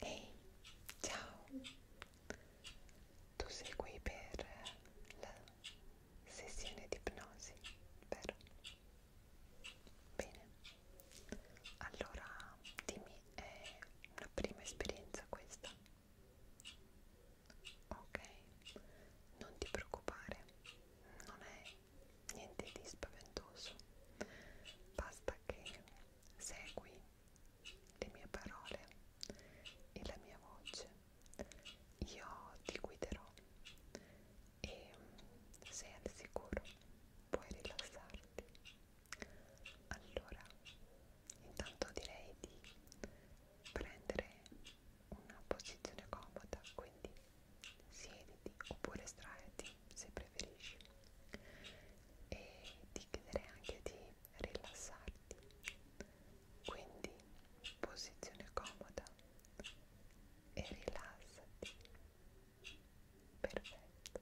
Ehi, hey, ciao! Tu sei qui per la sessione di ipnosi, vero? Bene, allora dimmi, è una prima esperienza questa? Ok, non ti preoccupare, non è niente di spaventoso, basta che segui le mie parole e la mia voce, io ti guiderò e sei al sicuro, puoi rilassarti. Allora, intanto direi di prendere una posizione comoda, quindi siediti oppure straeti se preferisci e ti chiederei anche di rilassarti quindi posizione comoda e rilassati perfetto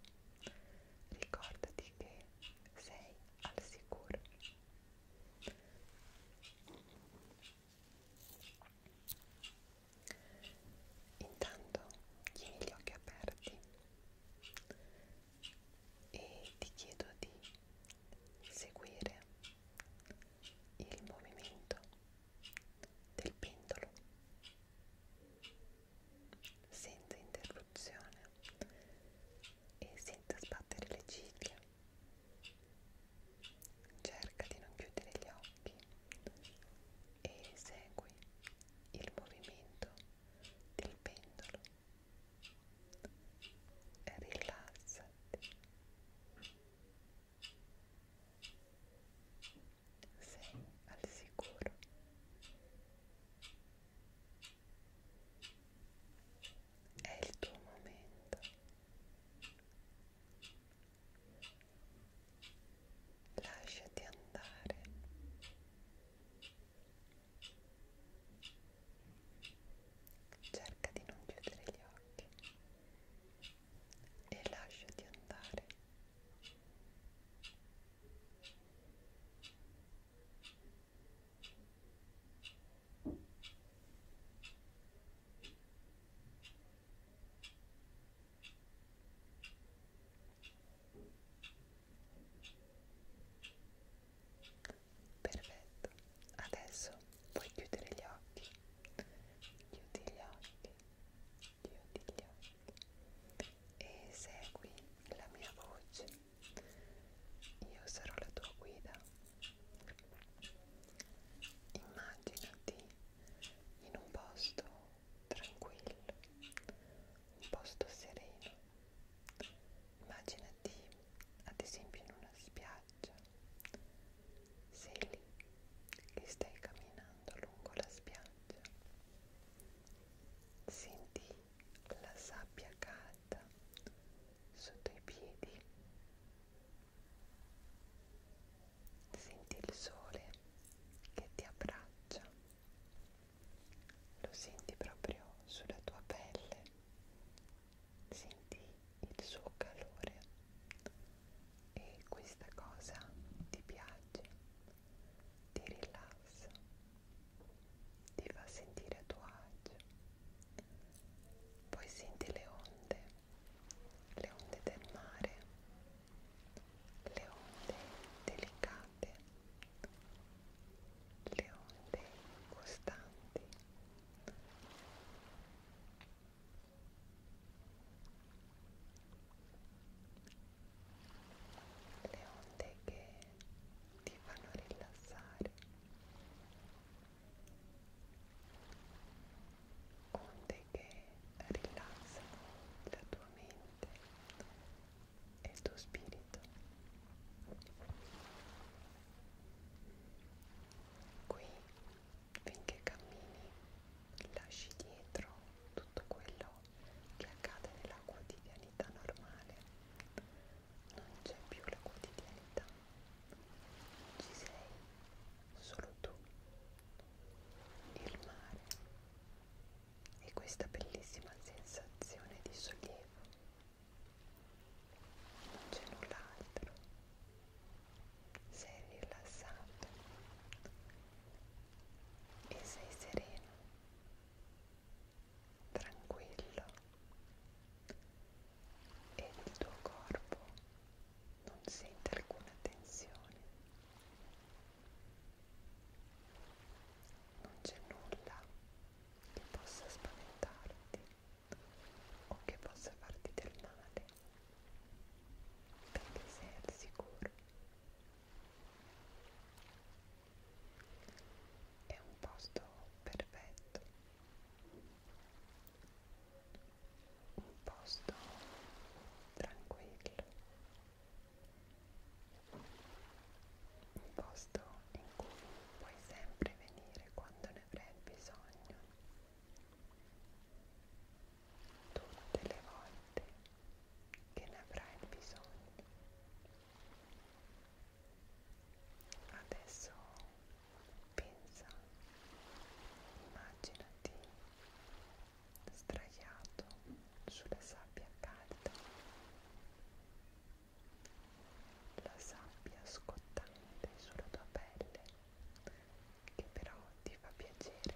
ricordati che sei al sicuro Intanto tieni gli occhi aperti e ti chiedo di seguire il movimento del pendolo senza interruzione e senza sbattere le ciglia cerca di non chiudere gli occhi e segui il movimento del pendolo rilassati sei al sicuro è il tuo momento lasciati andare cerca di non chiudere gli occhi e lasciati andare Lasciati andare Perfetto, adesso puoi chiudere gli occhi, chiudi gli occhi, chiudi gli occhi e segui la mia voce. Io sarò la tua guida Immaginati in un posto tranquillo, un posto sereno. Immaginati ad esempio in una spiaggia. Sei lì che stai camminando lungo la spiaggia. Senti la sabbia calda sotto i piedi Senti il sole che ti abbraccia, lo senti proprio sulla tua pelle, senti il suo calore e questa cosa ti piace, ti rilassa, ti fa sentire a tuo agio poi senti le onde, le onde del mare, le onde delicate, le onde costanti. Le onde che ti fanno rilassare, onde che rilassano la tua mente e il tuo spirito. Qui, finché cammini, lasci dietro tutto quello che accade nella quotidianità normale non c'è più la quotidianità, ci sei solo tu, il mare e questa bellissima sensazione di sollievo, non c'è null'altro, sei rilassato e sei sereno tranquillo e il tuo corpo non sente alcuna tensione, non c'è nulla che possa spaventarti o che possa farti del male perché sei al sicuro è un posto perfetto un posto tranquillo un posto in cui puoi sempre venire quando ne avrai bisogno tutte le volte che ne avrai bisogno Adesso pensa, immaginati sdraiato sulla sabbia calda, la sabbia scottante sulla tua pelle che però ti fa piacere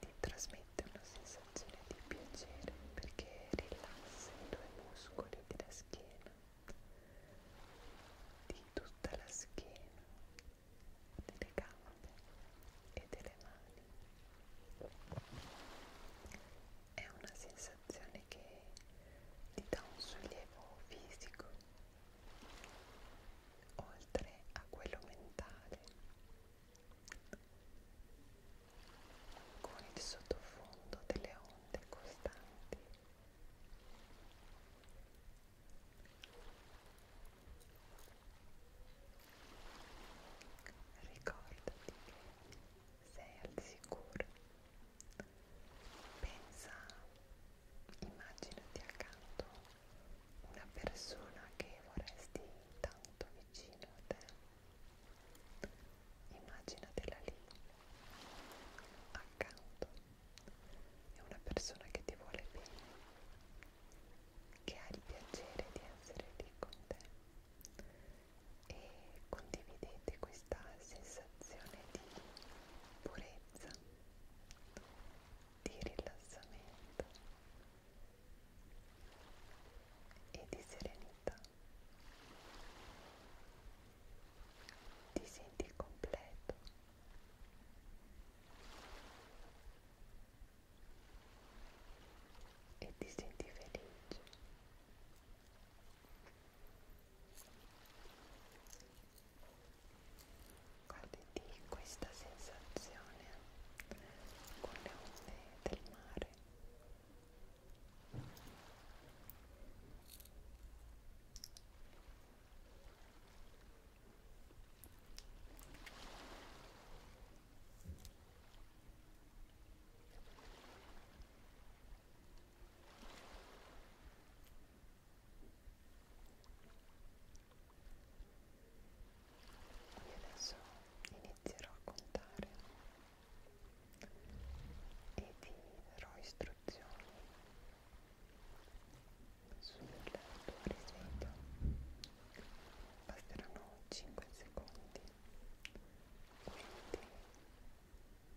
ti trasmette una sensazione di piacere perché rilassa i tuoi muscoli della schiena, di tutta la schiena, delle gambe e delle mani. È una sensazione che ti dà un sollievo fisico oltre a quello mentale con il sottofondo delle onde costanti. Ricordati che sei al sicuro. Pensa, immaginati accanto una persona che vorresti tanto vicino a te immaginatela lì accanto è una persona che ti vuole bene che ha il piacere di essere lì con te e condividete questa sensazione di purezza di rilassamento e di serenità. Ti senti completo. E ti senti felice goditi questa sensazione con le onde del mare Ora e adesso inizierò a contare e vi darò istruzioni sul tuo risveglio. Basteranno 5 secondi. Quindi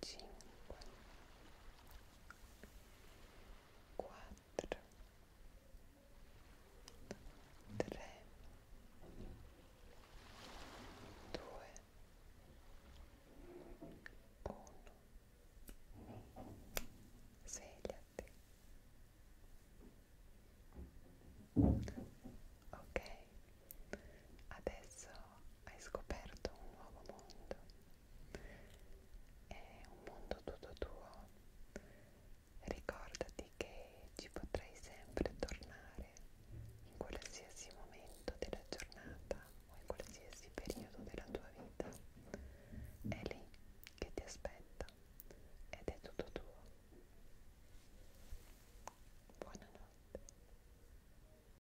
5 4 3 2 1 quattro, tre, due, uno, svegliati. Ok, adesso hai scoperto un nuovo mondo è un mondo tutto tuo ricordati che ci potrai sempre tornare in qualsiasi momento della giornata o in qualsiasi periodo della tua vita è lì che ti aspetta ed è tutto tuo buonanotte